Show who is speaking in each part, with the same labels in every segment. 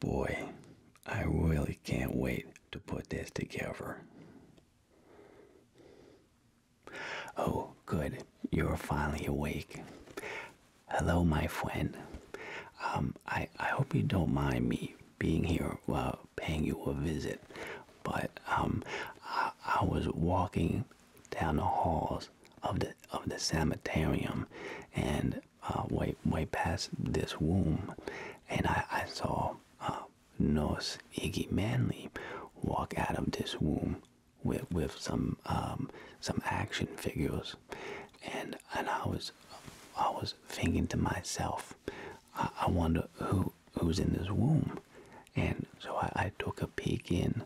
Speaker 1: Boy, I really can't wait to put this together. Oh, good. You're finally awake. Hello, my friend. Um, I, I hope you don't mind me being here uh, paying you a visit, but um, I, was walking down the halls of the of the cemetery, and uh, way way past this womb, and I, I saw uh, Nurse Iggy Manly, walk out of this womb with with some um, some action figures, and and I was I was thinking to myself, I, wonder who who's in this womb, and so I, I took a peek in.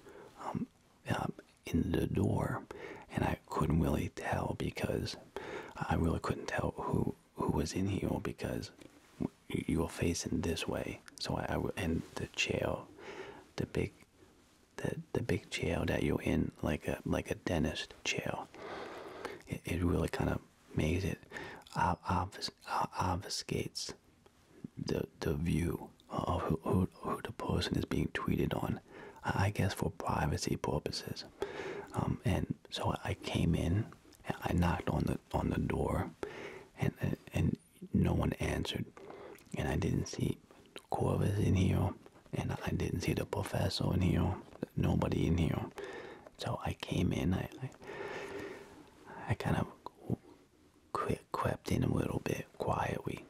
Speaker 1: Um, uh, in the door, and I couldn't really tell because I really couldn't tell who who was in here because you are facing this way. So I, I and the chair, the big, the the big chair that you're in, like a like a dentist chair. It, it really kind of makes it obfus, obfuscates the the view of who, who, who the person is being tweeted on I guess for privacy purposes. Um, and so I came in, I knocked on the on the door, and and, no one answered, and I didn't see Corvus in here, and I didn't see the professor in here, nobody in here. So I came in, I I, I kind of crept in a little bit quietly,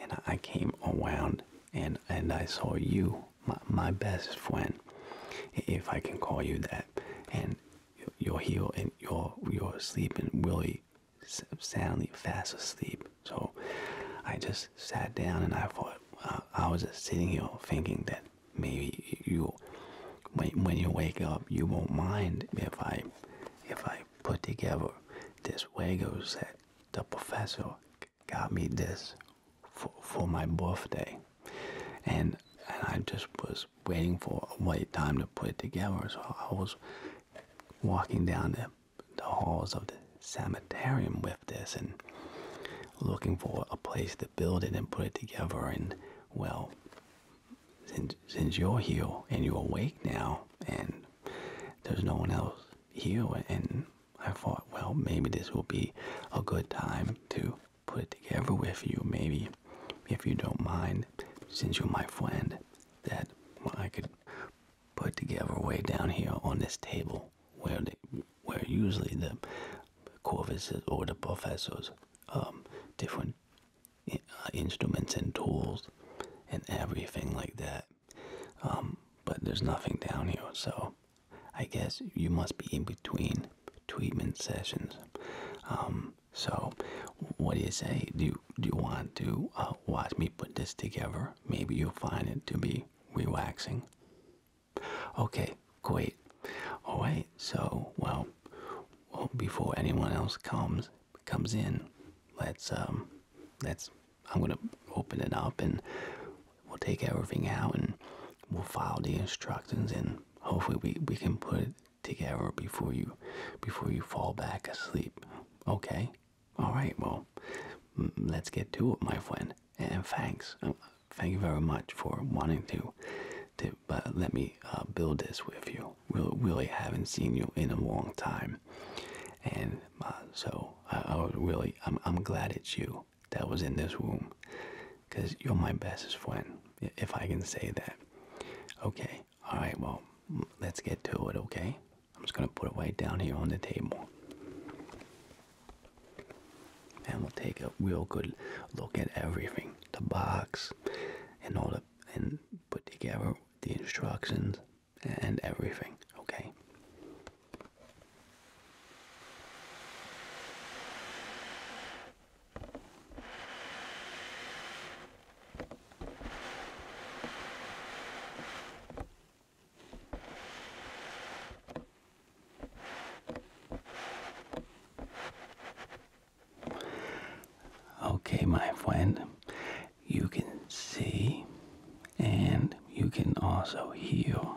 Speaker 1: and I came around and and I saw you, my my best friend, if I can call you that, and you're here and you're you're sleeping really soundly, fast asleep. So I just sat down and I thought uh, I was just sitting here thinking that maybe you, when when you wake up, you won't mind if I if I put together this Lego set the professor got me this for, for my birthday, and and I just was waiting for a right time to put it together. So I was walking down the, the halls of the cemetery with this and looking for a place to build it and put it together. And well, since, since you're here and you're awake now, and there's no one else you and I thought, well, maybe this will be a good time to put it together with you. Maybe, if you don't mind, since you're my friend, that I could put together way down here on this table where where usually the corvises or the professors, um, different uh, instruments and tools and everything like that. Um, but there's nothing down here, so I guess you must be in between treatment sessions. Um, so, what do you say? Do you, do you want to uh, watch me put this together? Maybe you'll find it to be relaxing. Okay, great. All right. So, well before anyone else comes comes in. Let's um, let's. I'm gonna open it up, and we'll take everything out, and we'll follow the instructions, and hopefully we we can put it together before you before you fall back asleep. Okay. All right. Well, let's get to it, my friend. And thanks. Uh, thank you very much for wanting to to let me uh, build this with you. We really haven't seen you in a long time and uh, so I, I was really I'm I'm glad it's you that was in this room, cause you're my bestest friend if I can say that. Okay, all right, well let's get to it. Okay, I'm just gonna put it right down here on the table, and we'll take a real good look at everything, the box, and all the and put together the instructions and everything, okay? Okay, my friend, you can see and you can also heal.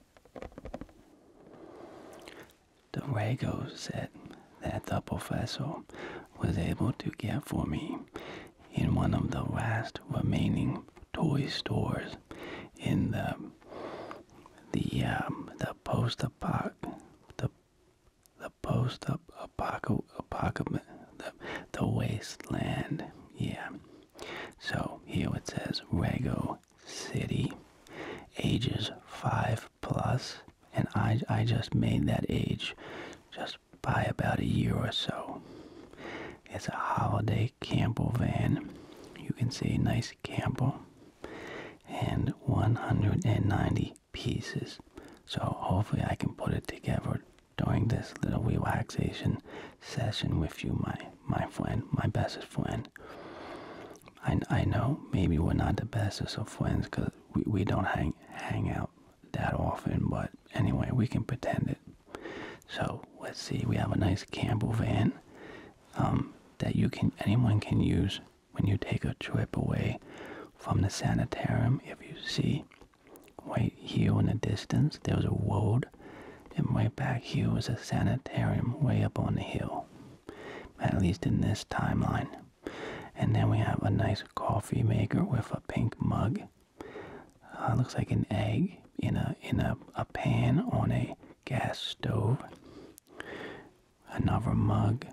Speaker 1: Drago said that the professor was able to get for me in one of the last remaining toy stores in the the um, the post apoc the the post apocalypse the the wasteland yeah so here it says Rego City, ages 5 plus, and I, I just made that age just by about a year or so. It's a holiday Campbell van. You can see nice Campbell, and 190 pieces. So hopefully I can put it together during this little relaxation session with you, my my friend, my bestest friend. I, I know maybe we're not the bestest of friends because we, we don't hang hang out that often, but anyway, we can pretend it. So let's see, we have a nice Campbell van um, that you can anyone can use when you take a trip away from the sanitarium. If you see right here in the distance, there's a road and way back here was a sanitarium way up on the hill. At least in this timeline. And then we have a nice coffee maker with a pink mug. Uh, looks like an egg in a in a, a pan on a gas stove. Another mug,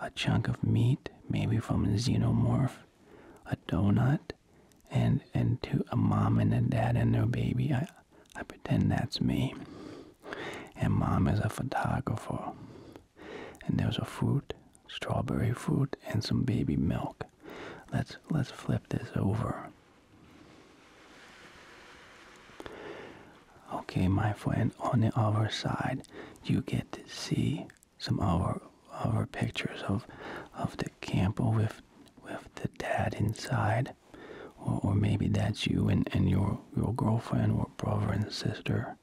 Speaker 1: a chunk of meat, maybe from a xenomorph, a donut, and and to a mom and a dad and their baby. I I pretend that's me. And mom is a photographer. And there's a fruit, strawberry fruit, and some baby milk. Let's let's flip this over. Okay, my friend, on the other side, you get to see some other other pictures of of the camp with with the dad inside, or, or maybe that's you and, and your, your girlfriend or brother and sister,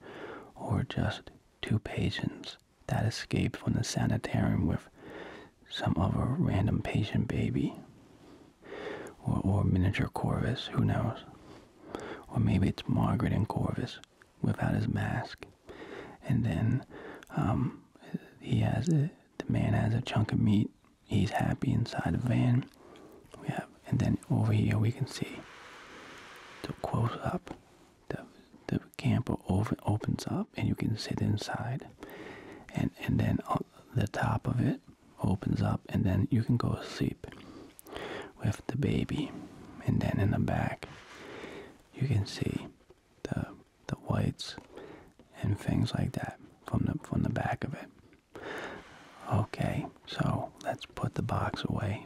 Speaker 1: or just two patients that escaped from the sanitarium with some other random patient baby, or, or miniature Corvus, who knows? Or maybe it's Margaret and Corvus without his mask, and then um, he has a, the man has a chunk of meat he's happy inside the van. We have, and then over here we can see the close up. The the camper over opens up, and you can sit inside, and and then the top of it opens up, and then you can go sleep with the baby, and then in the back you can see the the whites and things like that from the from the back of it. Okay, so let's put the box away.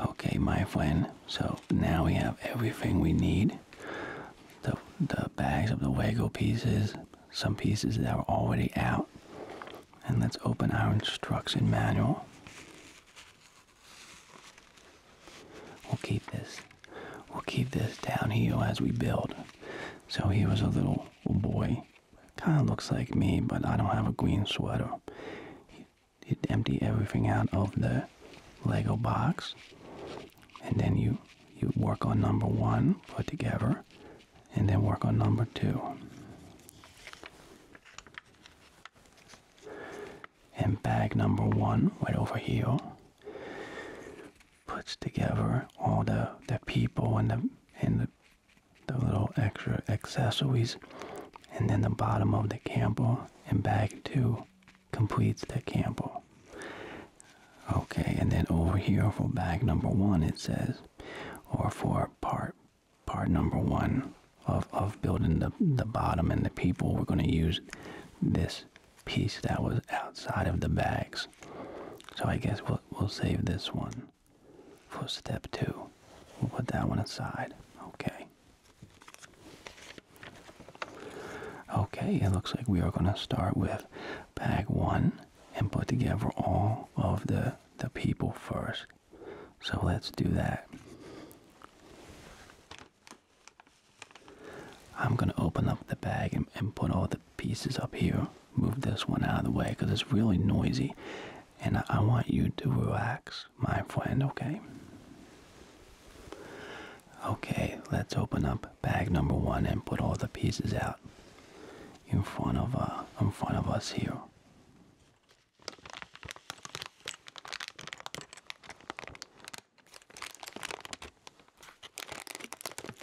Speaker 1: Okay, my friend. So now we have everything we need. The the bags of the Lego pieces, some pieces that are already out. And let's open our instruction manual. We'll keep this. We'll keep this down here as we build. So here was a little boy Kind of looks like me, but I don't have a green sweater. You empty everything out of the Lego box, and then you you work on number one, put together, and then work on number two. And bag number one, right over here, puts together all the the people and the and the the little extra accessories, and then the bottom of the Campbell and bag two completes the Campbell. Okay, and then over here for bag number one it says, or for part part number one of, of building the, the bottom and the people, we're going to use this piece that was outside of the bags. So I guess we'll, we'll save this one for step two. We'll put that one aside. Okay. Okay, it looks like we are going to start with bag one and put together all of the, the people first. So let's do that. I'm going to open up the bag and, put all the pieces up here, move this one out of the way because it's really noisy. And I, want you to relax, my friend, okay? Okay, let's open up bag number one and put all the pieces out in front of uh, in front of us here.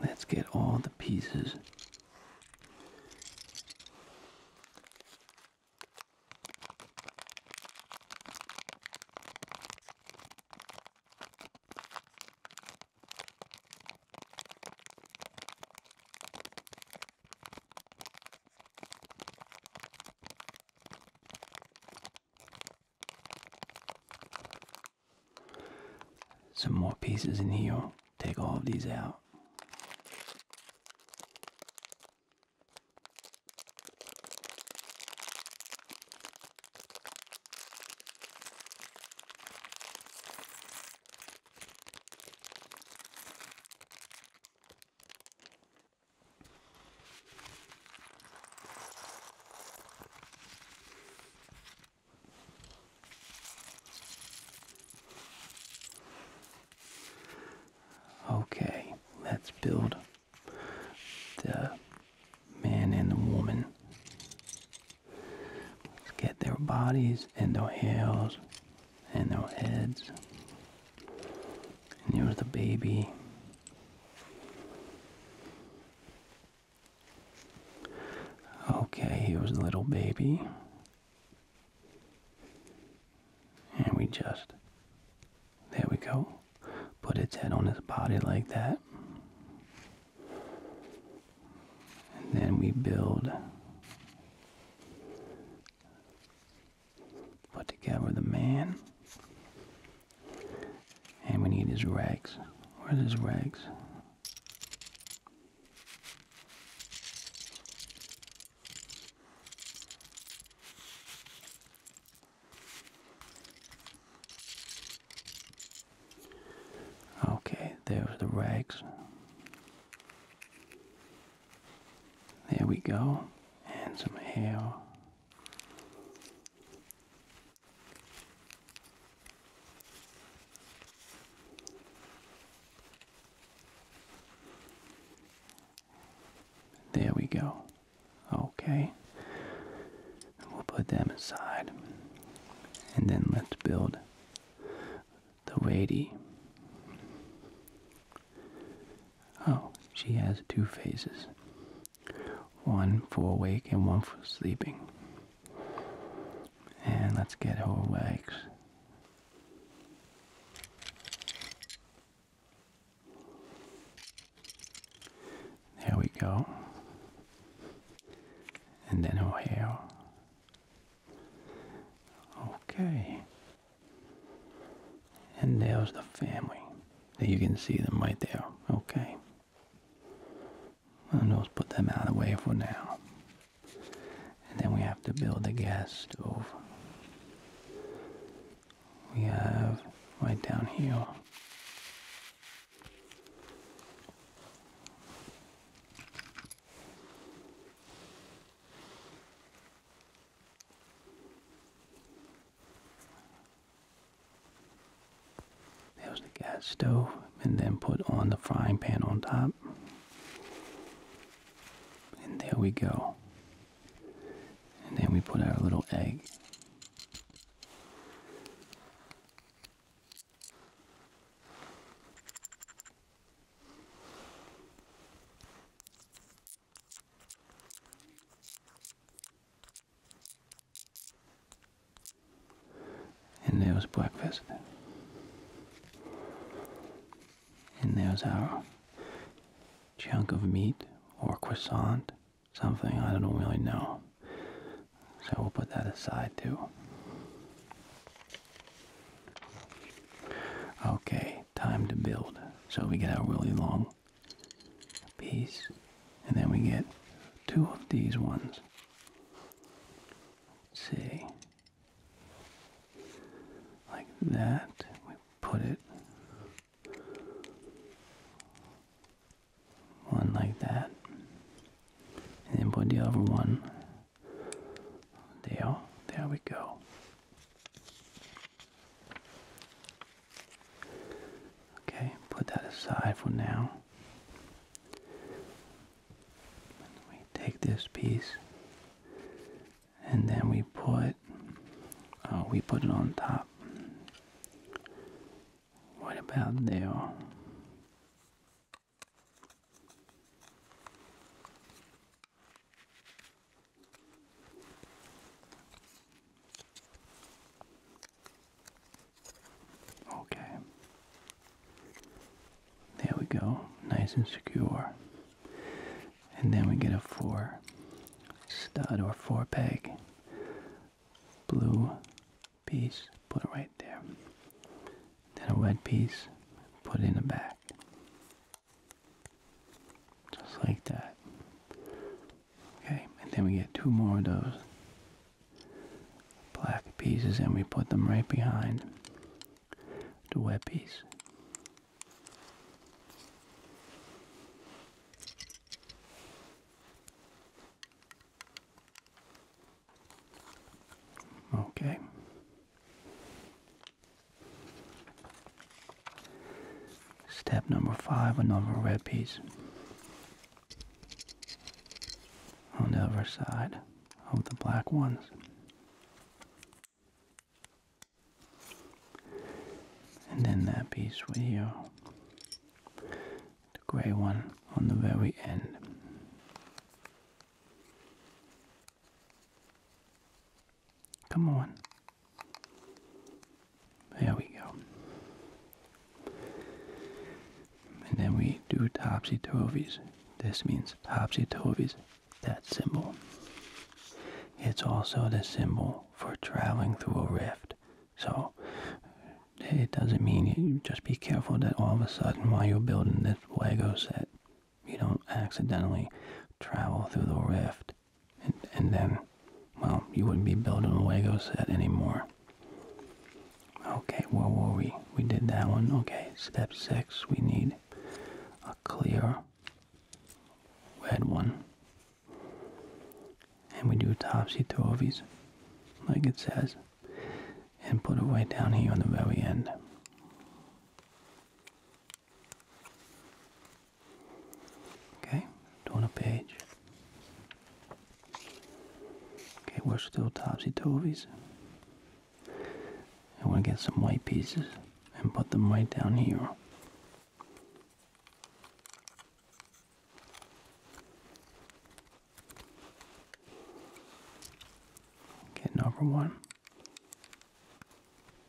Speaker 1: Let's get all the pieces. Some more pieces in here. Take all of these out. Okay, let's build the man and the woman. Let's get their bodies and their hairs and no heads. And here's the baby. Okay, here's was a little baby. And we just, there we go, put its head on its body like that. And then we build put together the man. And we need his rags. Where's his rags? Okay, there's the rags. There we go. And some hair. There we go. Okay. We'll put them aside. And then let's build the lady. Oh, she has two phases. One for awake and one for sleeping. And let's get her awake. There we go. And then her hair. Okay. And there's the family. There you can see them right there. Okay. i And let's put them out of the way for now. And then we have to build the gas stove. We have right down here. There's the gas stove, and then put on the frying pan on top. And there we go. And then we put our little egg. And there was breakfast. And there's our chunk of meat or croissant, something I don't really know. So we'll put that aside too. Okay, time to build. So we get our really long piece, and then we get two of these ones. Let's see, like that. We put it one like that, and then put the other one there. There we go. Okay, put that aside for now. We take this piece and then we put uh, we put it on top. What about there? Okay. There we go. Nice and secure. And then we get a four stud or four peg blue piece, put it right there. Then a red piece, put it in the back. Just like that. Okay, and then we get two more of those black pieces and we put them right behind the wet piece. Okay. Step number five, another red piece on the other side of the black ones. And then that piece right here the gray one on the very end. Come on. There we go. And then we do topsy-turvies. This means topsy-turvies, that symbol. It's also the symbol for traveling through a rift. So, it doesn't mean you just be careful that all of a sudden while you're building this Lego set, you don't accidentally travel through the rift and, then, well, you wouldn't be building a Lego set anymore. Okay, where were we? We did that one. Okay, step six, we need a clear red one. And we do topsy-turvies, like it says. And put it right down here on the very end. Okay, turn a page. Okay, we're still topsy-turvies. I want to get some white pieces and put them right down here. Okay, number one.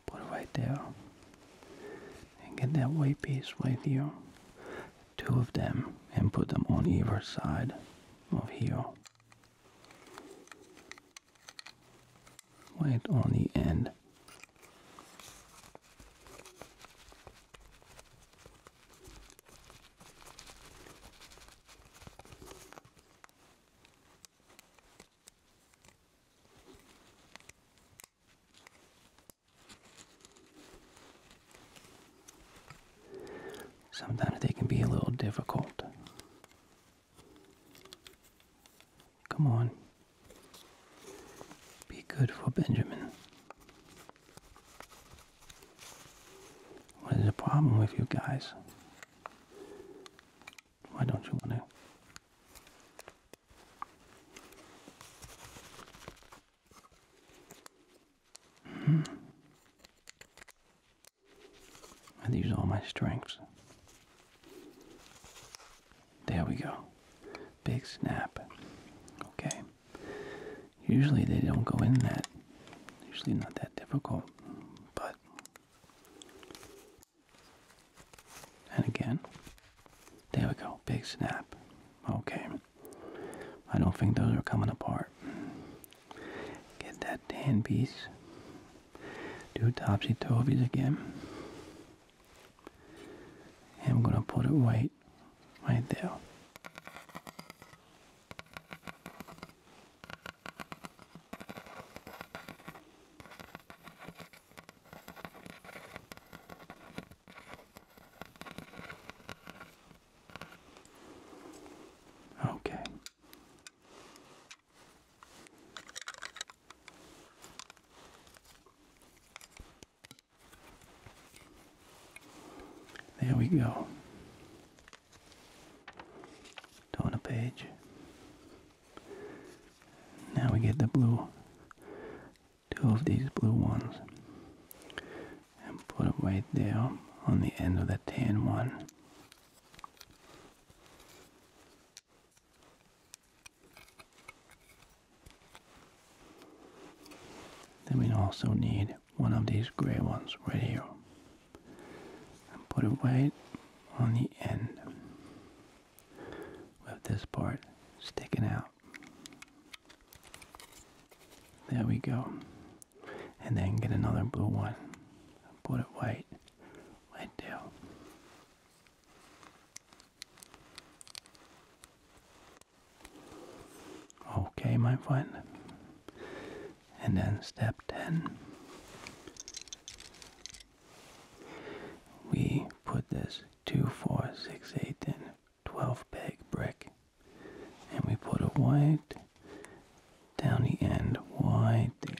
Speaker 1: Put it right there. And get that white piece right here. Two of them and put them on either side of here. Right on the end. Sometimes they can be a little difficult. Come on. Be good for Benjamin. What is the problem with you guys? Why don't you want to? Mm -hmm. And these are my strengths. There we go. Big snap. Okay. Usually they don't go in that. Usually not that difficult. But and again. There we go. Big snap. Okay. I don't think those are coming apart. Get that tan piece. Do topsy turvies again. I'm gonna put it right right there. Okay. There we go. Turn a page. Now we get the blue, two of these blue ones, and put it right there on the end of the tan one. Then we also need one of these gray ones right here. And put it right on the end with this part sticking out. There we go. And then get another blue one. Put it white right there. Okay, my friend. And then step 10. We put this 2, 4, 6, 8, and 12 peg brick. And we put a white down the end, white there.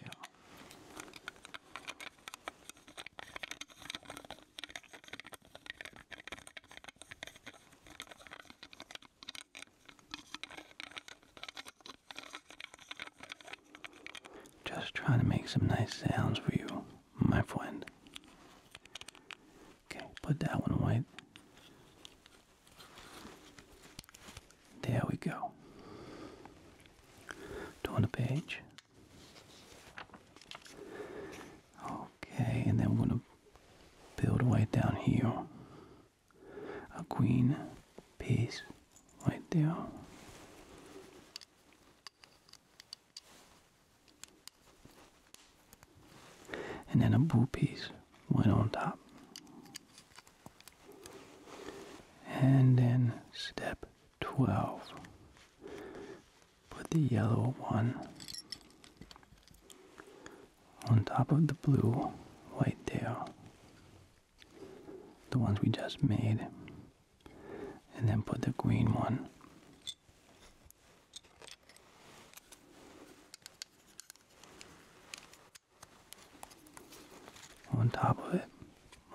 Speaker 1: Just trying to make some nice sounds for you, my friend. Okay, put that one away. There we go. Turn the page. Okay, and then we're gonna build right down here. A green piece right there. And then a blue piece went on top. And then step 12. Put the yellow one on top of the blue white there. The ones we just made and then put the green one on top of it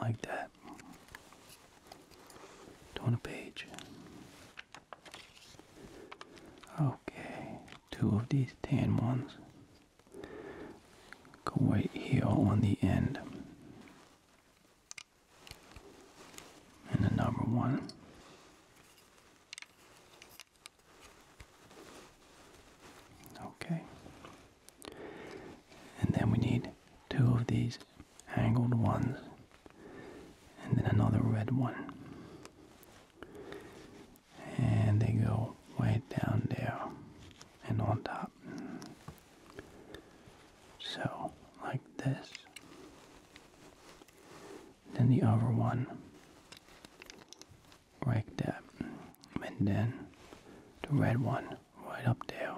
Speaker 1: like that on a page okay two of these tan ones go right here on the end and the number one. Okay. And then we need two of these angled ones and then another red one. And they go way down there and on top. So, like this. Then the other one, like that. And then the red one, right up there.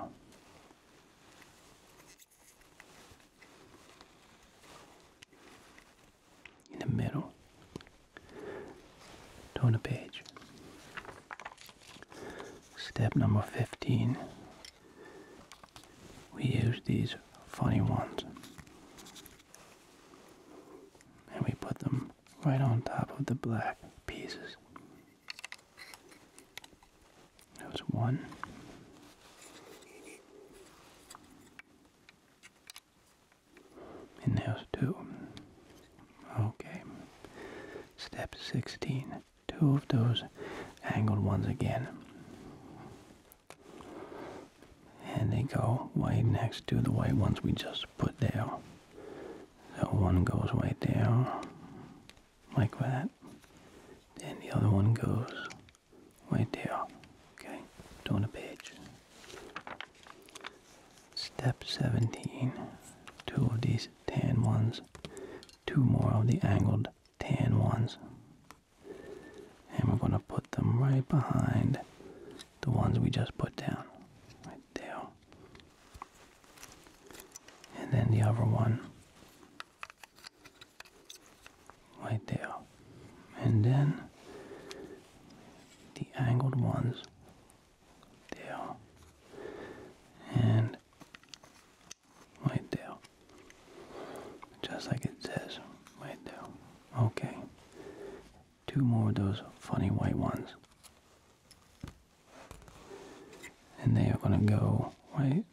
Speaker 1: In the middle. Turn the page. Step number 15. We use these funny ones and we put them right on top of the black pieces. That's one. And there's two. Okay. Step 16 two of those angled ones again. And they go right next to the white ones we just put there. So one goes right there, like that. and the other one goes right there. Okay, turn a page. Step 17. Two of these tan ones two more of the angled tan ones. And we're going to put them right behind the ones we just put down. Right there. And then the other one. Right there. And then the angled ones. There. And White Right Just like it says. Right there. Okay. Two more of those funny white ones. And they are going to go right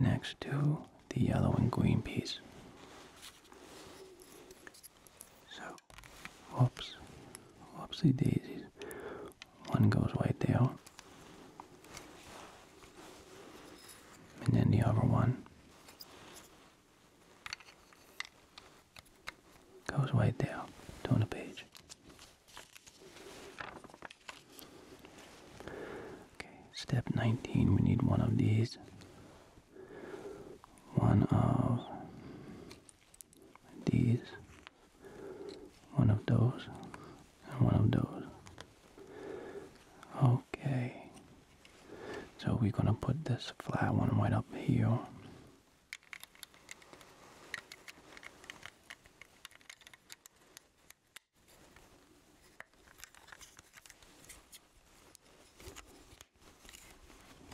Speaker 1: next to the yellow and green piece. So, whoops, whoopsie daisies. One goes right there. And then the other one goes right there. Turn the page. Okay, step 19, we need one of these. One of these one of those, and one of those. Okay. So we're gonna put this flat one right up here.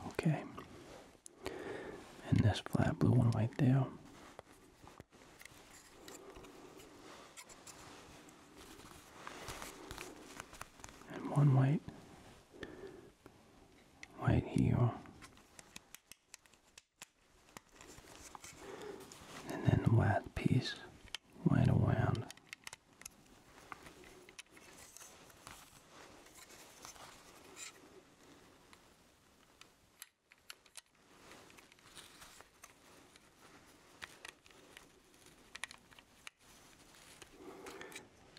Speaker 1: Okay. And this flat blue one right there and one white white here and then the last piece right around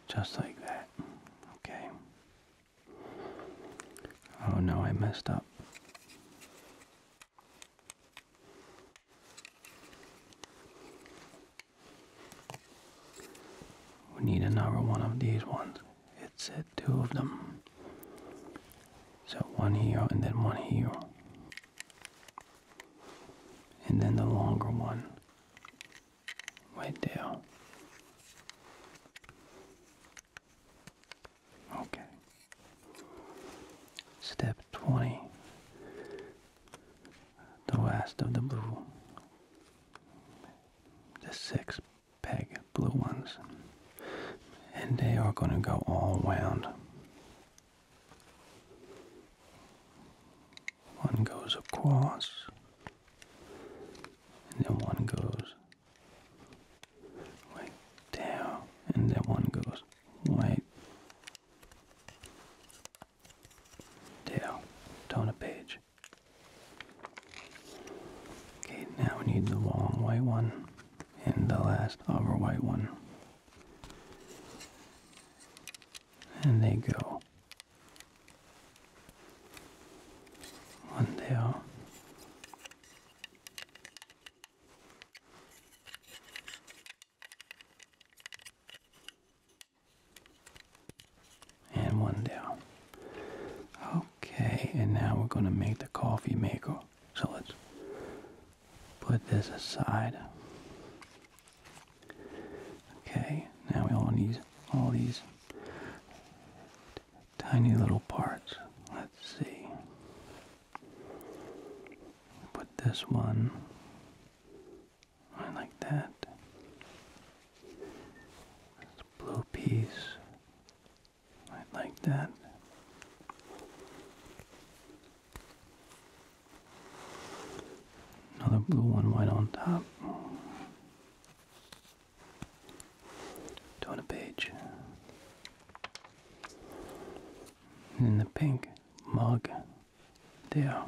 Speaker 1: just like that. Okay. Oh no, I messed up. We need another one of these ones. It said two of them. So one here and then one here. And then the longer one. Right there. Okay. Step 20. The last of the blue. The six peg blue ones. And they are going to go all round. One goes across, and then one goes right there, and then one goes right there. Turn a page. Okay, now we need the long white one and the last other white one. And they go. One there. And one down. Okay, and now we're going to make the coffee maker. So let's put this aside. Okay, now we all need all these tiny little parts. Let's see. Put this one like that. This blue piece. I like that. Another blue one white on top. Turn a page. In the pink mug, there.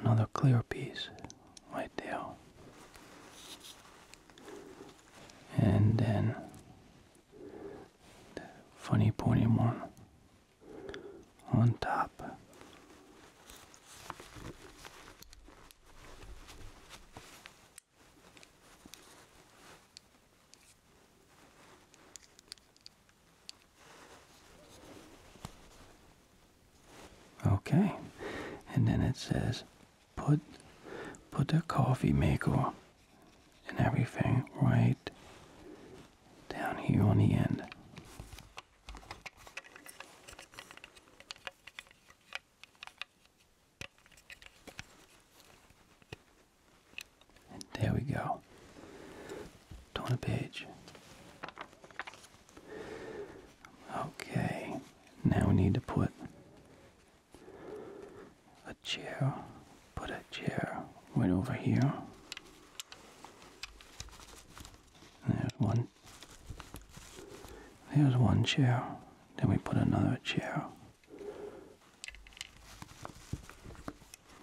Speaker 1: Another clear piece right there and then the funny pony one on top. Okay, and then it says put put the coffee maker and everything right down here on the end. there we go. Turn a page. Okay, now we need to put a chair, put a chair right over here. There's one. There's one chair. Then we put another chair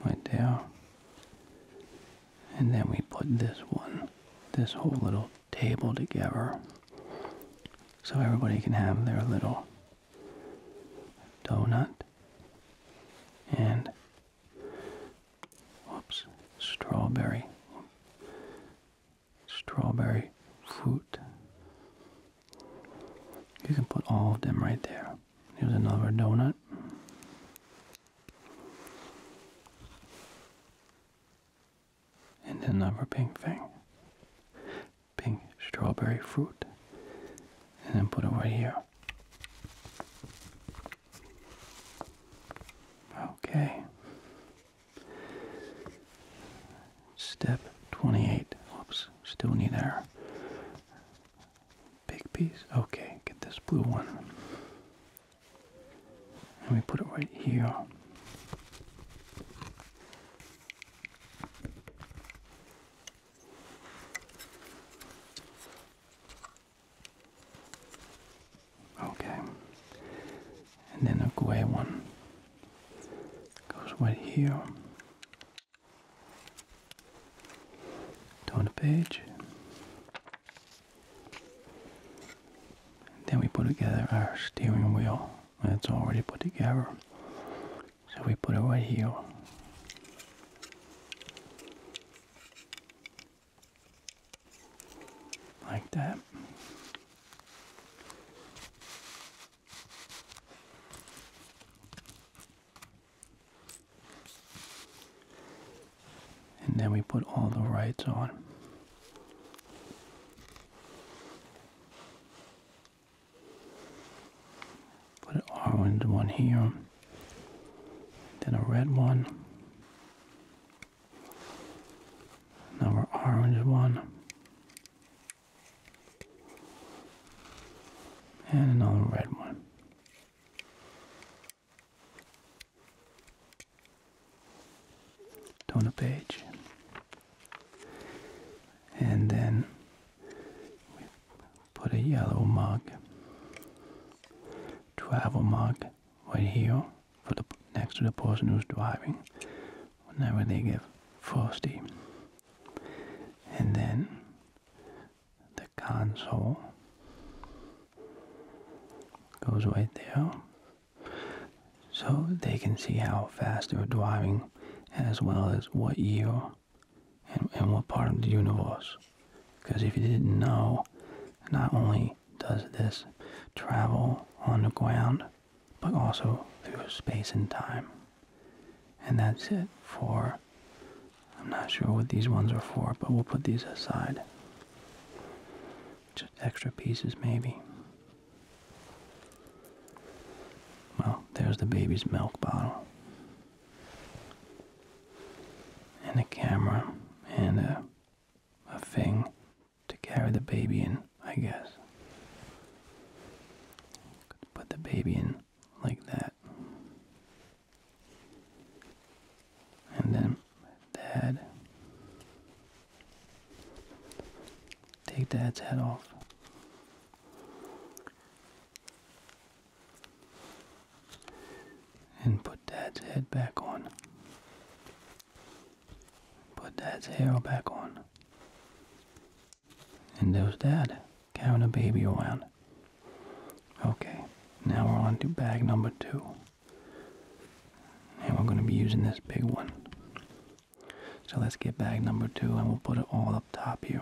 Speaker 1: right there. And then we put this one, this whole little table together so everybody can have their little donut and whoops strawberry strawberry fruit you can put all of them right there here's another donut and then another pink thing. Pink strawberry fruit. And then put it right here. Okay. Step 28. Oops, still need air. big piece. Okay, get this blue one. And we put it right here. Okay. And then a gray one goes right here. Turn the page. then we put together our steering wheel. It's already put together. So we put it right here. Like that. And then we put all the rights on. Put an orange one here, then a red one, another orange one, and another red one a Page. And then we put a yellow mug, travel mug right here for the next to the person who's driving whenever they get frosty. And then the console goes right there so they can see how fast they are driving as well as what year and, and what part of the universe. Because if you didn't know, not only does this travel on the ground, but also through space and time. And that's it for, I'm not sure what these ones are for, but we'll put these aside. Just extra pieces maybe. Well, there's the baby's milk bottle. And a camera and a, a thing to carry the baby in, I guess. put the baby in like that. And then dad Take Dad's head off. And put Dad's head back on. Put Dad's hair back on. And there's Dad carrying a baby around. Okay, now we're on to bag number two. And we're going to be using this big one. So let's get bag number two and we'll put it all up top here.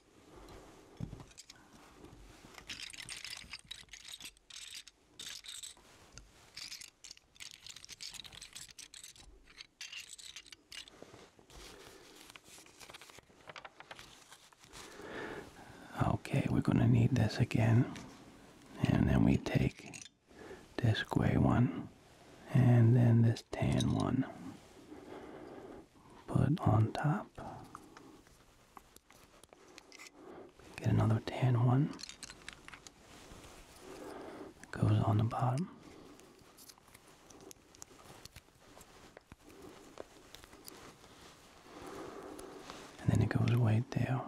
Speaker 1: Okay, we're going to need this again. And then we take this gray one and then this tan one. Put on top. Get another tan one. Goes on the bottom. And then it goes right there.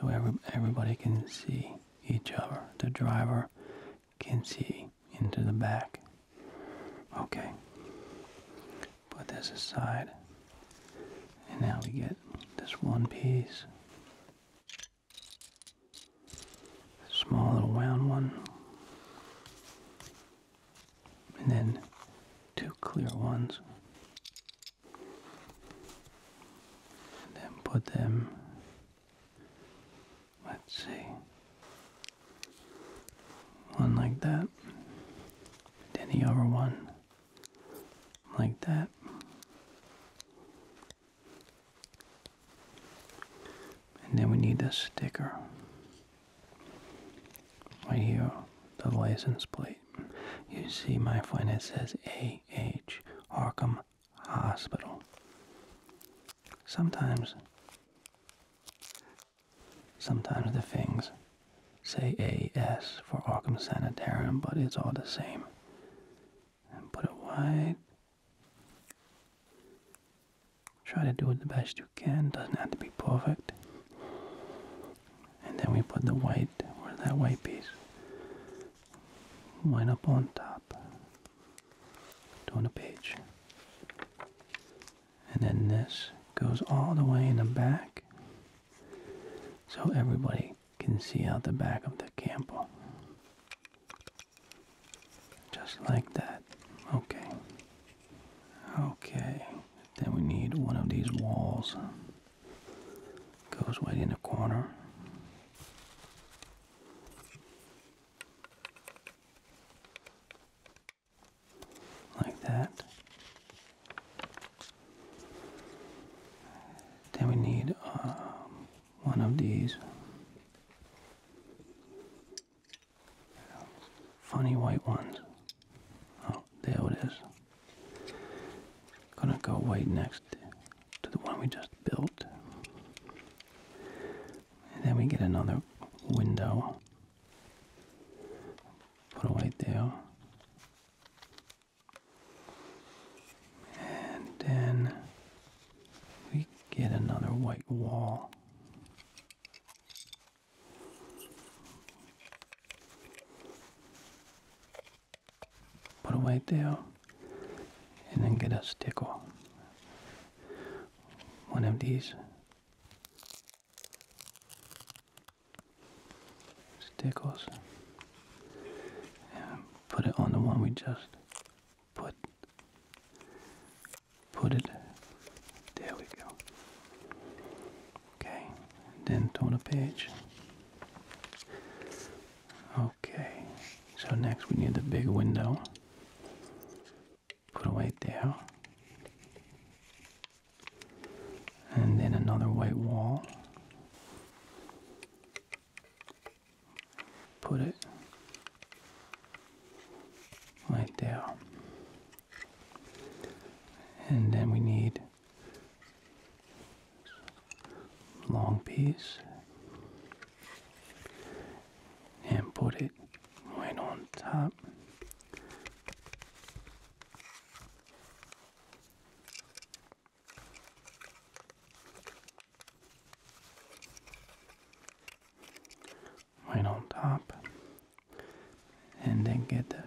Speaker 1: So every, everybody can see each other, the driver can see into the back. Okay. Put this aside. And now we get this one piece. Small little round one. And then two clear ones. And then put them Let's see. One like that. Then the other one like that. And then we need this sticker right here, the license plate. You see my friend, it says AH, Arkham Hospital. Sometimes, sometimes the things say AS for Arkham Sanitarium, but it's all the same. And put it wide. Try to do it the best you can. Doesn't have to be perfect. And then we put the white, or that white piece, right up on top, down the page and then this goes all the way in the back so everybody can see out the back of the Campbell. Just like that. Okay. Okay. Then we need one of these walls. Goes right in the corner like that. Then we need um, one of these funny white ones. Oh, there it is. Gonna go right next to the one we just built then we get another window. Put a right there. And then we get another white wall. Put it right there. And then get a stickle. One of these Stickles. put it on the one we just put. Put it. There we go. Okay. then turn the page. Okay. So next we need the big window put a away there. And then another white wall. Put it right there. And then we need long piece and put it right on top. Right on top, and then get the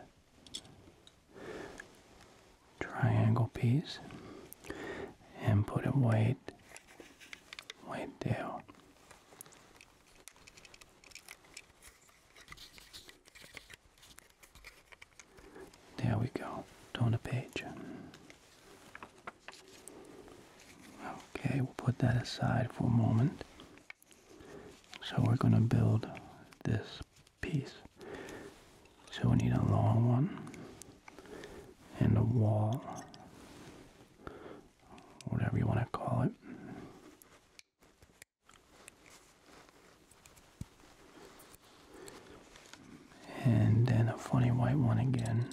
Speaker 1: triangle piece and put it right, right there there we go. Turn a page. Okay, we'll put that aside for a moment. So we're going to build this piece. So we need a long one and a wall whatever you want to call it. And then a funny white one again.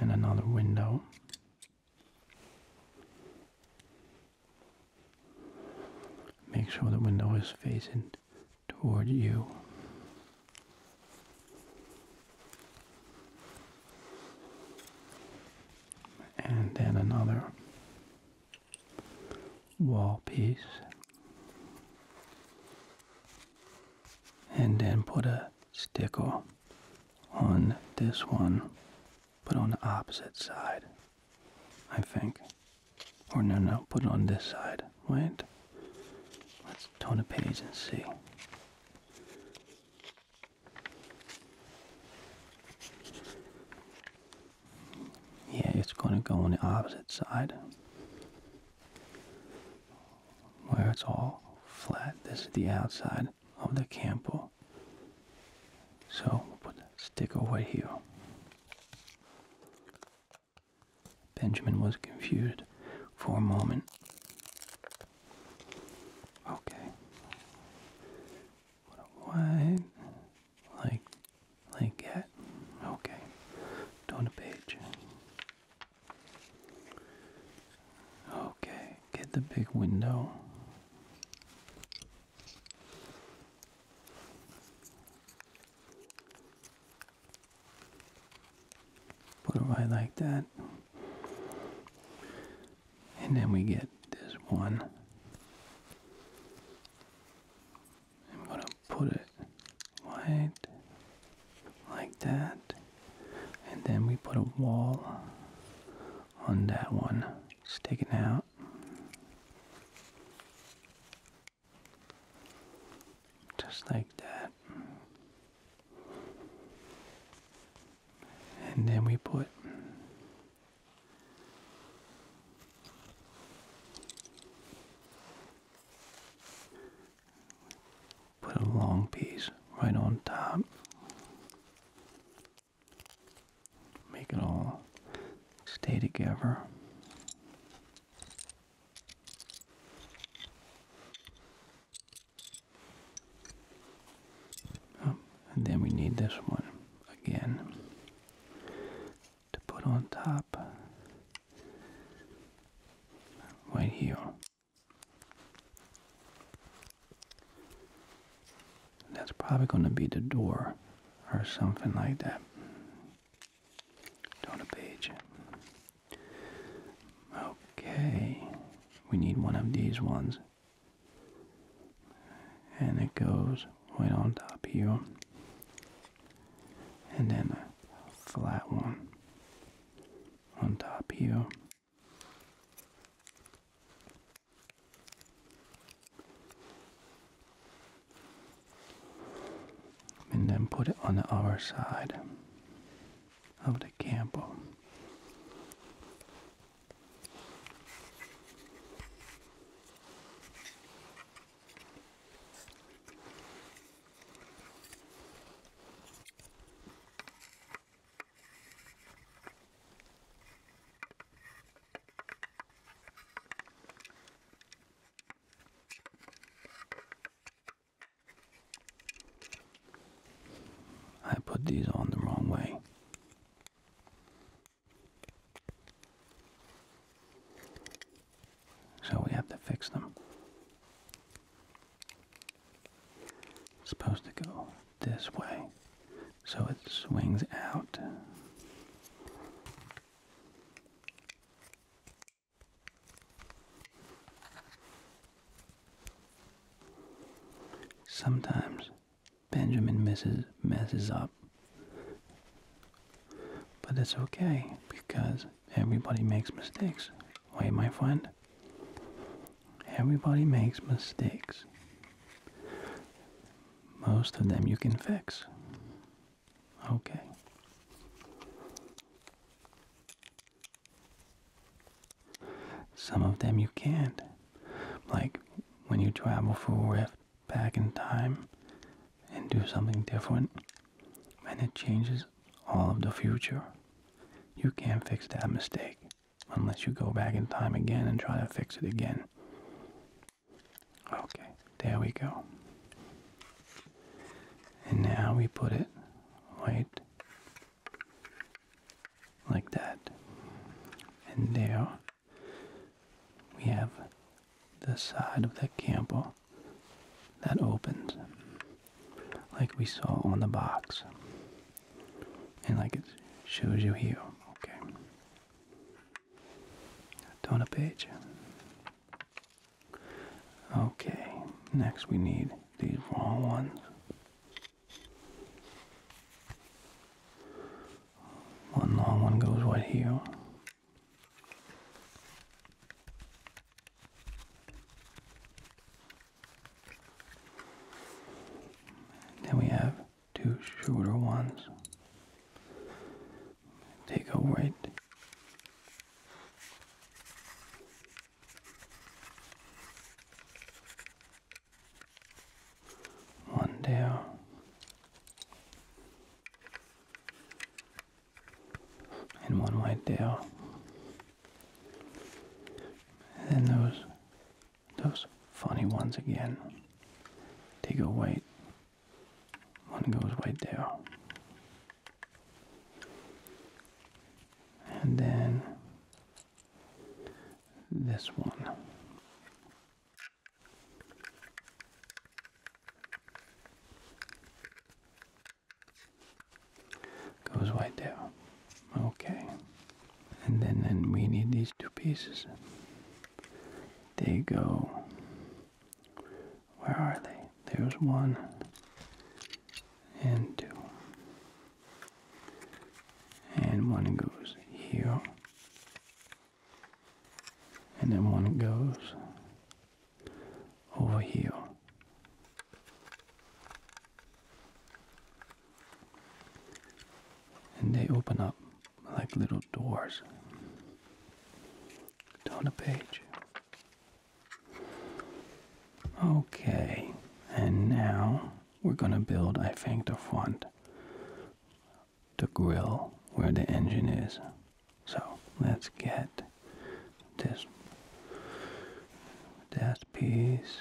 Speaker 1: And another window. Make sure the window is facing toward you. And then another wall piece. And then put a sticker on this one, but on the opposite side, I think. Or oh, no, no, put it on this side. Wait. Let's turn a page and see. Yeah, it's going to go on the opposite side. Where it's all flat. This is the outside of the campo. So put the sticker right here. Benjamin was confused for a moment. Okay. Put like like that. Okay. Turn the page. Okay, get the big window. Put it right like that. And then we get this one. I'm going to put it right like that. And then we put a wall on that one, sticking out. Just like that. And then we put put a long piece right on top. Make it all stay together. Oh, and then we need this one again to put on top right here. That's probably going to be the door or something like that. Down a page. Okay. We need one of these ones. And it goes right on top here. And then a flat one on top here and then put it on the other side of the camper. I put these on the wrong way. So we have to fix them. supposed to go this way. So it swings out. Sometimes Benjamin misses messes up. But that's okay because everybody makes mistakes. Wait, my friend. Everybody makes mistakes. Most of them you can fix. Okay. Some of them you can't. Like when you travel through a rift back in time and do something different, and it changes all of the future. You can't fix that mistake unless you go back in time again and try to fix it again. Okay, there we go. And now we put it right like that. And there we have the side of the camper that opens like we saw on the box. And like it shows you here. Okay. Turn a page. Okay, next we need these long ones. One long one goes right here. Then we have two shorter ones. They go right one down. And one white down. And then those those funny ones again. They go white one goes right there. And then this one. Goes right there. Okay. And then, then we need these two pieces. They go where are they? There's one and two. And one goes here. And then one goes over here. And they open up like little doors down a page. Okay, and now we're gonna build, I think, the front, the grill where the engine is. So let's get this, that piece,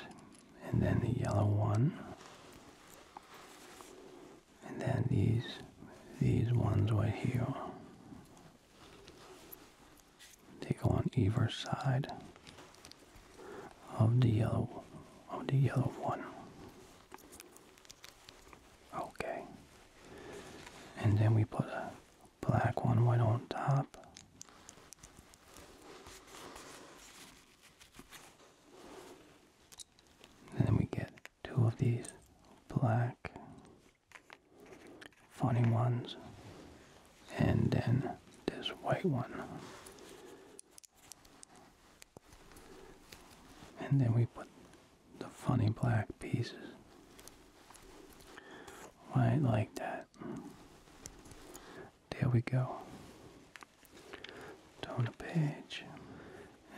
Speaker 1: and then the yellow one, and then these, these ones right here. They go on either side of the yellow of the yellow one. Okay. And then we put a black one right on top. And then we get two of these black funny ones, and then this white one. And then we put the funny black pieces right like that. There we go. Turn the page.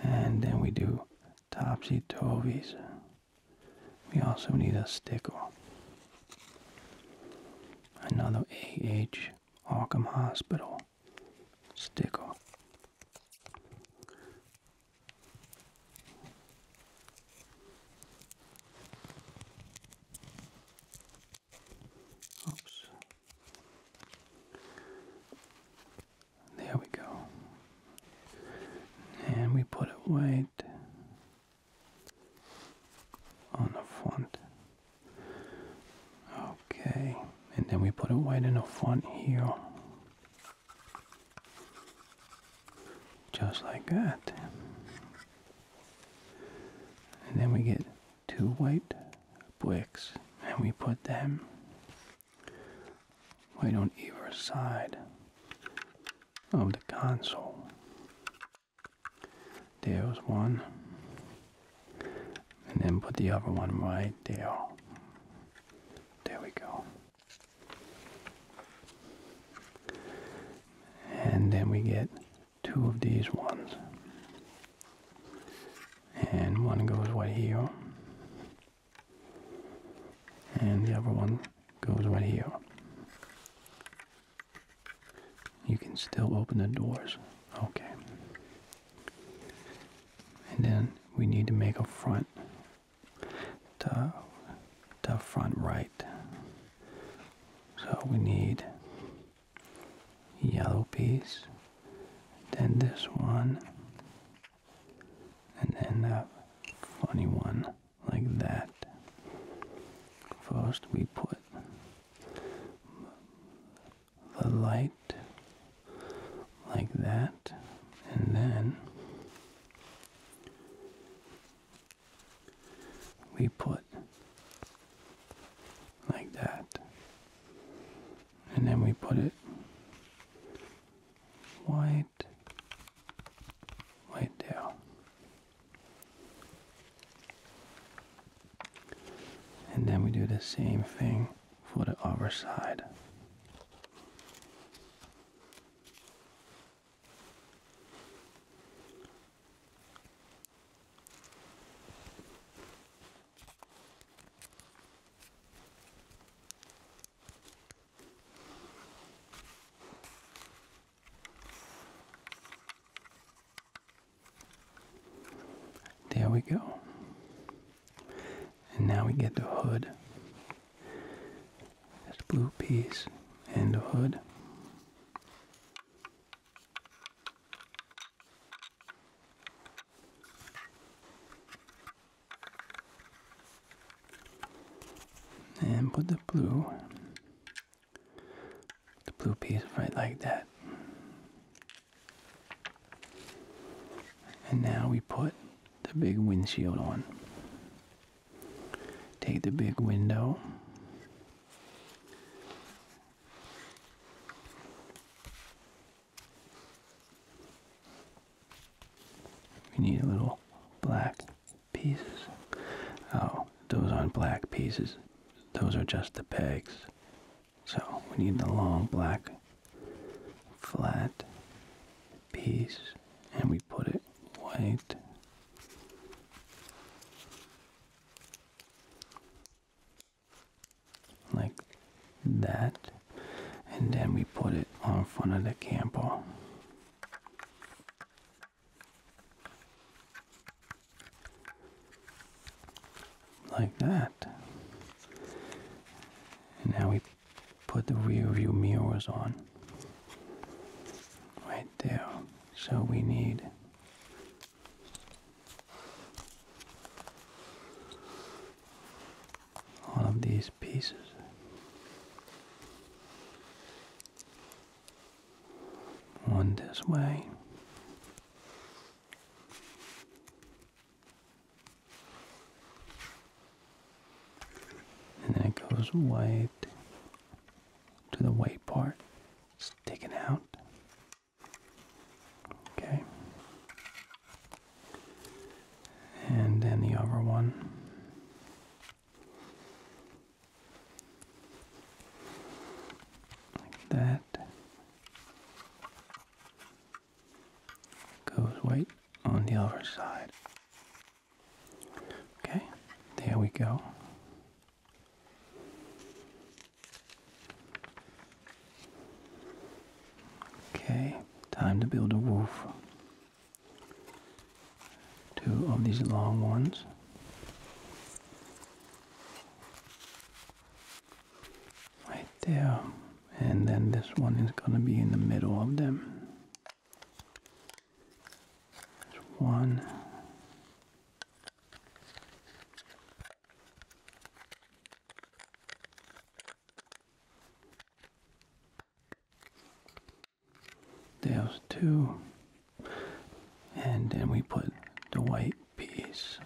Speaker 1: And then we do topsy-turvies. We also need a sticker. Another A.H. Arkham Hospital sticker. Oops. There we go. And we put a white on the front. Okay. And then we put a white in the front here. Just like that. And then we get two white bricks and we put them laid on either side of the console. There's one, and then put the other one right there. There we go. And then we get two of these ones. And one goes right here and the other one goes right here. You can still open the doors. Okay. And then we need to make a front to the front right. So we need yellow piece, then this one, and then up funny one like that. First we put the light like that and then we put like that and then we put it white, white there. And then we do the same thing for the other side. There we go. And now we get the hood. This blue piece and the hood. And put the blue, the blue piece right like that. And now we put the big windshield on. Take the big window. We need little black pieces. Oh, those aren't black pieces. Those are just the pegs. So we need the long black flat piece and we put it white. Like that and then we put it on front of the camper. Like that. And now we put the rear view mirrors on. Right there. So we need all of these pieces. One this way. And then it goes white to the white part. sticking out. Okay and then the other one. Like that. Goes right on the other side. Okay, there we go. Okay, time to build a roof two of these long ones. Right there. And then this one is going to be in the middle of them. one there's two and then we put the white piece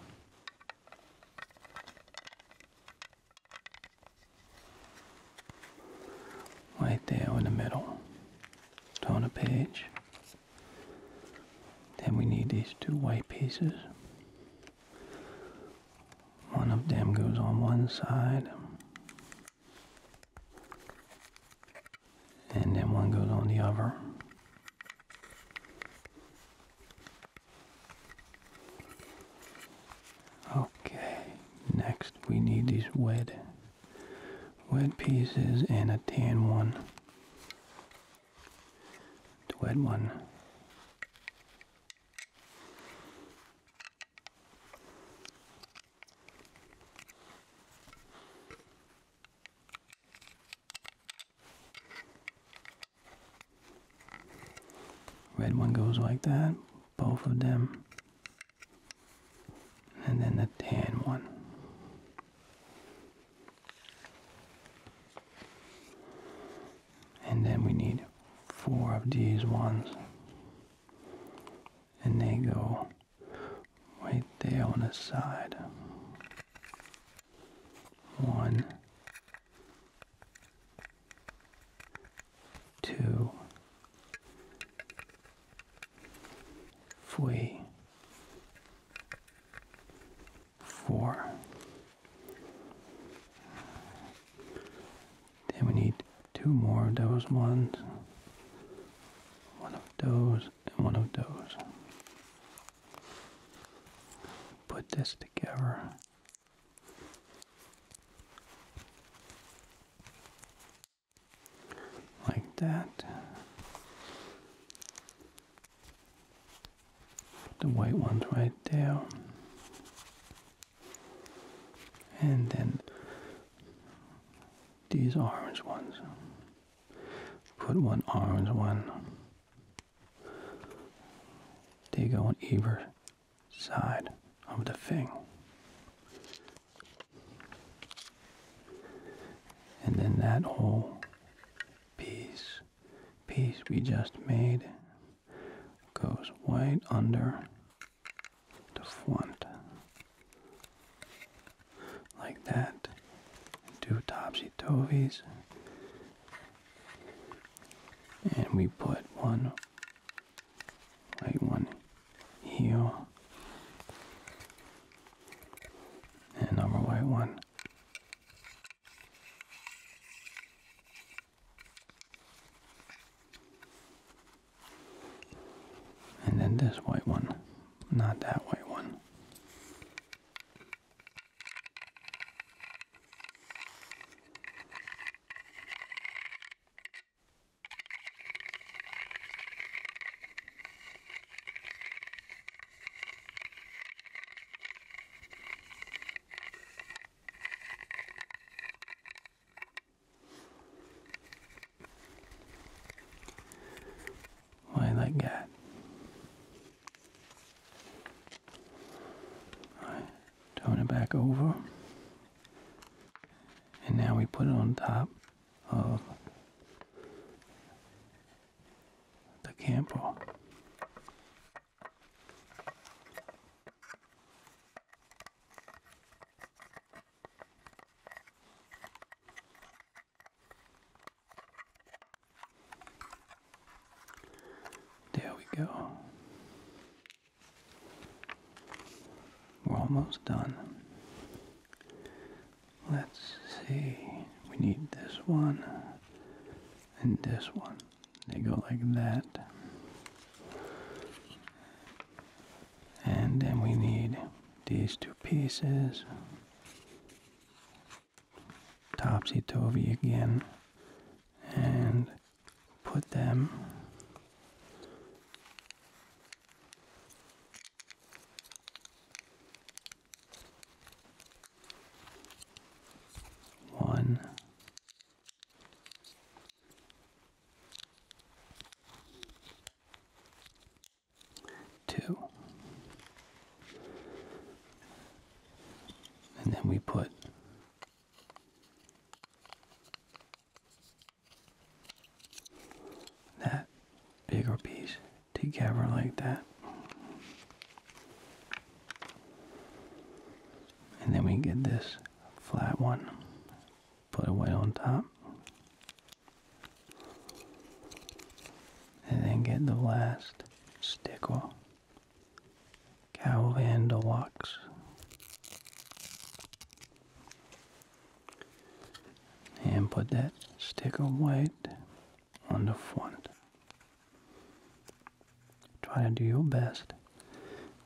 Speaker 1: right there in the middle turn a page then we need these two white pieces one of them goes on one side and then one goes on the other. Okay, next we need these wet, wet pieces and a tan one. The wet one Red one goes like that, both of them, and then the tan one. And then we need four of these ones and they go right there on the side. One, two, three, four, then we need two more of those ones. One of those and one of those. Put this together. Like that. The white ones right there and then these orange ones. Put one orange one. They go on either side of the thing. And then that whole piece, piece we just made goes right under the front. Like that. Two topsy-turvies. And we put one white one here. And another white one. And then this white one, not that white one. Why like that? Alright, turn it back over. And now we put it on top of the camper. There we go. We're almost done. Let's see. We need this one and this one. They go like that. And then we need these two pieces. Topsy-turvy again. And put them one Two. And then we put that bigger piece together like that. And then we get this flat one put it white on top. And then get the last stick cow Calvin wax, And put that stick of white on the front. Try to do your best.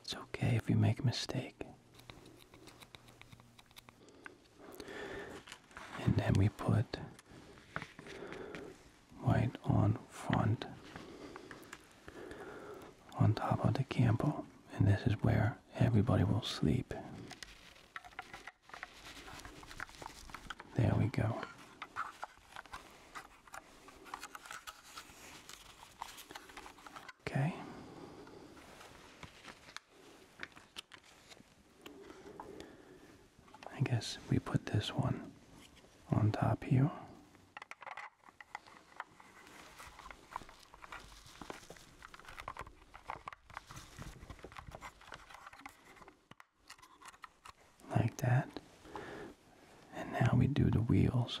Speaker 1: It's okay if you make a mistake. And then we put white on front on top of the campo. And this is where everybody will sleep. There we go. Okay. I guess we put this one on top here. Like that. And now we do the wheels.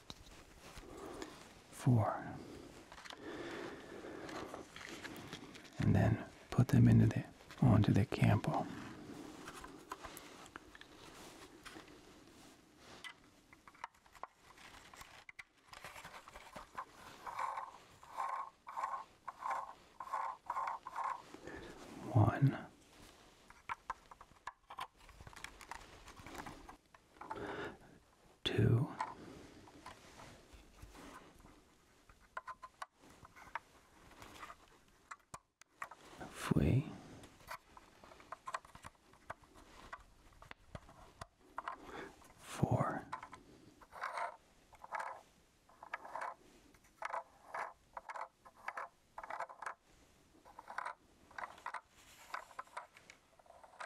Speaker 1: four. And then put them into the onto the campo. One, two, three, four,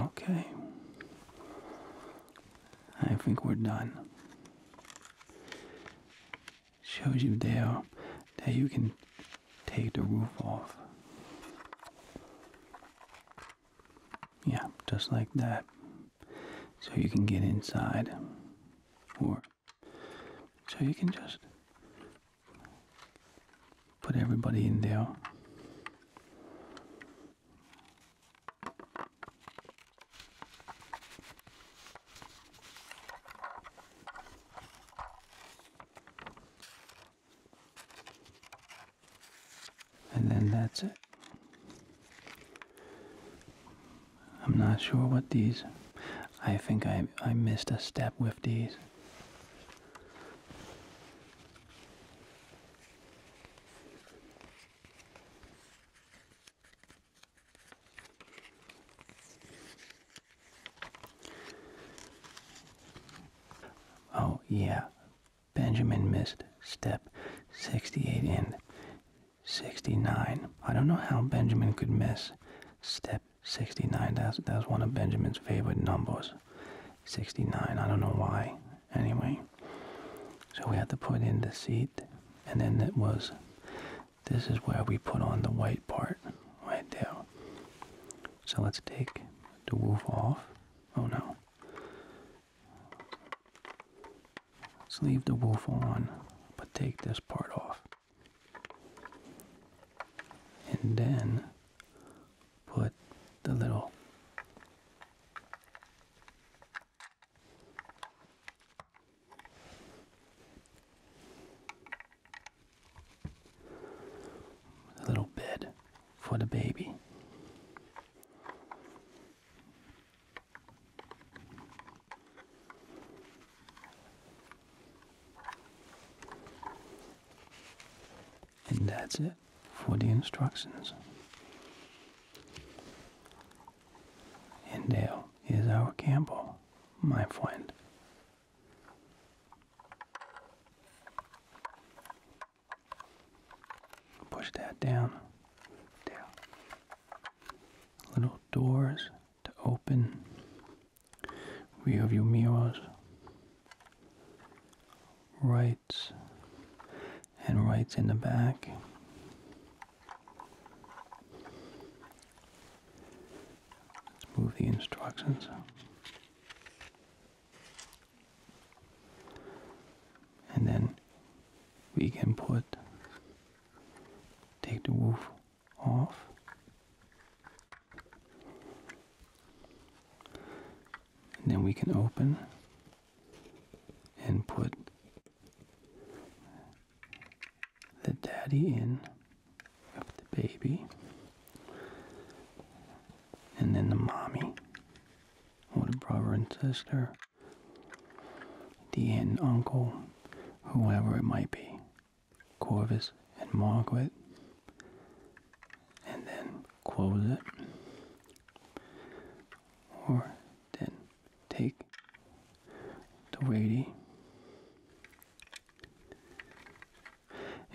Speaker 1: Okay. I think we're done. Shows you there that you can take the roof off. Yeah, just like that. So you can get inside or so you can just put everybody in there. And then that's it. I'm not sure what these. I think I I missed a step with these. Oh, yeah. Benjamin missed step 68 and 69. I don't know how Benjamin could miss step 69. That's that's one of Benjamin's favorite numbers. 69. I don't know why. Anyway, so we had to put in the seat, and then it was. This is where we put on the white part, right there. So let's take the wolf off. Oh no. Let's leave the wolf on, but take this part off and then put the little little bed for the baby. And that's it for the instructions. And there is our Campbell, my friend. Push that down. There. Little doors to open we have your mirrors, rights, and rights in the back. move the instructions. And then we can put, take the roof off. And then we can open and put the daddy in the baby and then the mommy or the brother and sister the aunt and uncle whoever it might be Corvus and Margaret, and then close it, or then take the lady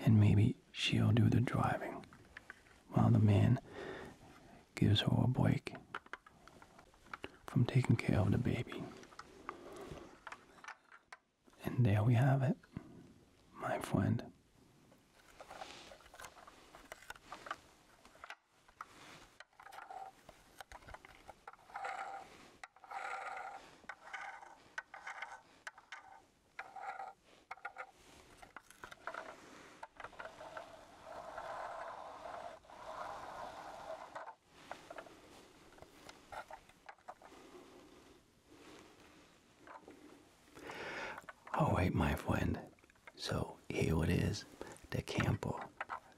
Speaker 1: and maybe she'll do the driving while the man gives her a break from taking care of the baby. And there we have it, my friend. Oh wait, my friend. So here it is, the Campo.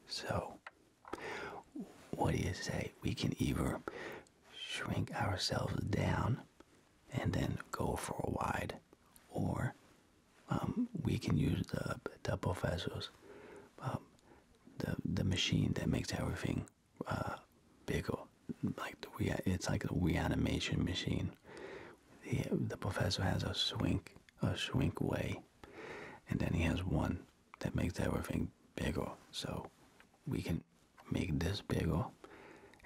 Speaker 1: So, what do you say? We can either shrink ourselves down and then go for a wide, or um, we can use the the professor's um, the the machine that makes everything uh, like the we it's like the we animation machine. The the professor has a swink, a swink way, and then he has one that makes everything bigger. So we can make this bigger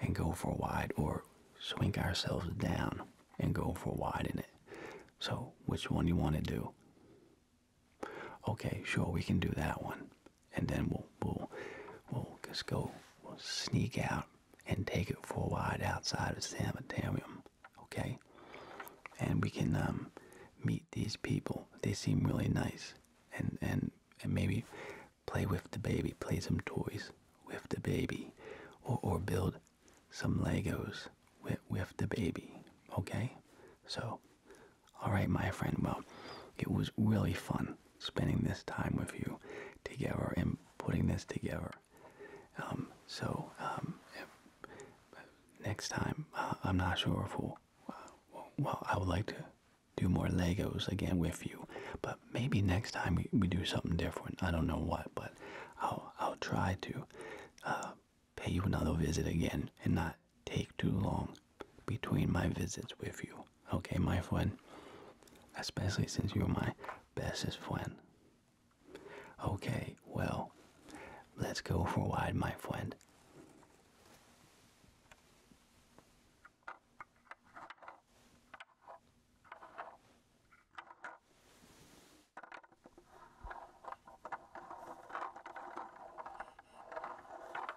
Speaker 1: and go for wide, or swink ourselves down and go for wide in it. So which one you want to do? Okay, sure, we can do that one, and then we'll we'll we'll just go we'll sneak out and take it for a ride outside of sanitarium. Okay, and we can um, meet these people. They seem really nice, and and and maybe play with the baby, play some toys with the baby, or or build some Legos with with the baby. Okay, so all right, my friend. Well, it was really fun spending this time with you together and putting this together. Um, so um, next time, uh, I'm not sure if we'll. Uh, well, I would like to do more Legos again with you, but maybe next time we, do something different. I don't know what, but I'll I'll try to uh, pay you another visit again and not take too long between my visits with you. Okay, my friend? Especially since you're my bestest friend. Okay, well, let's go for a ride, my friend.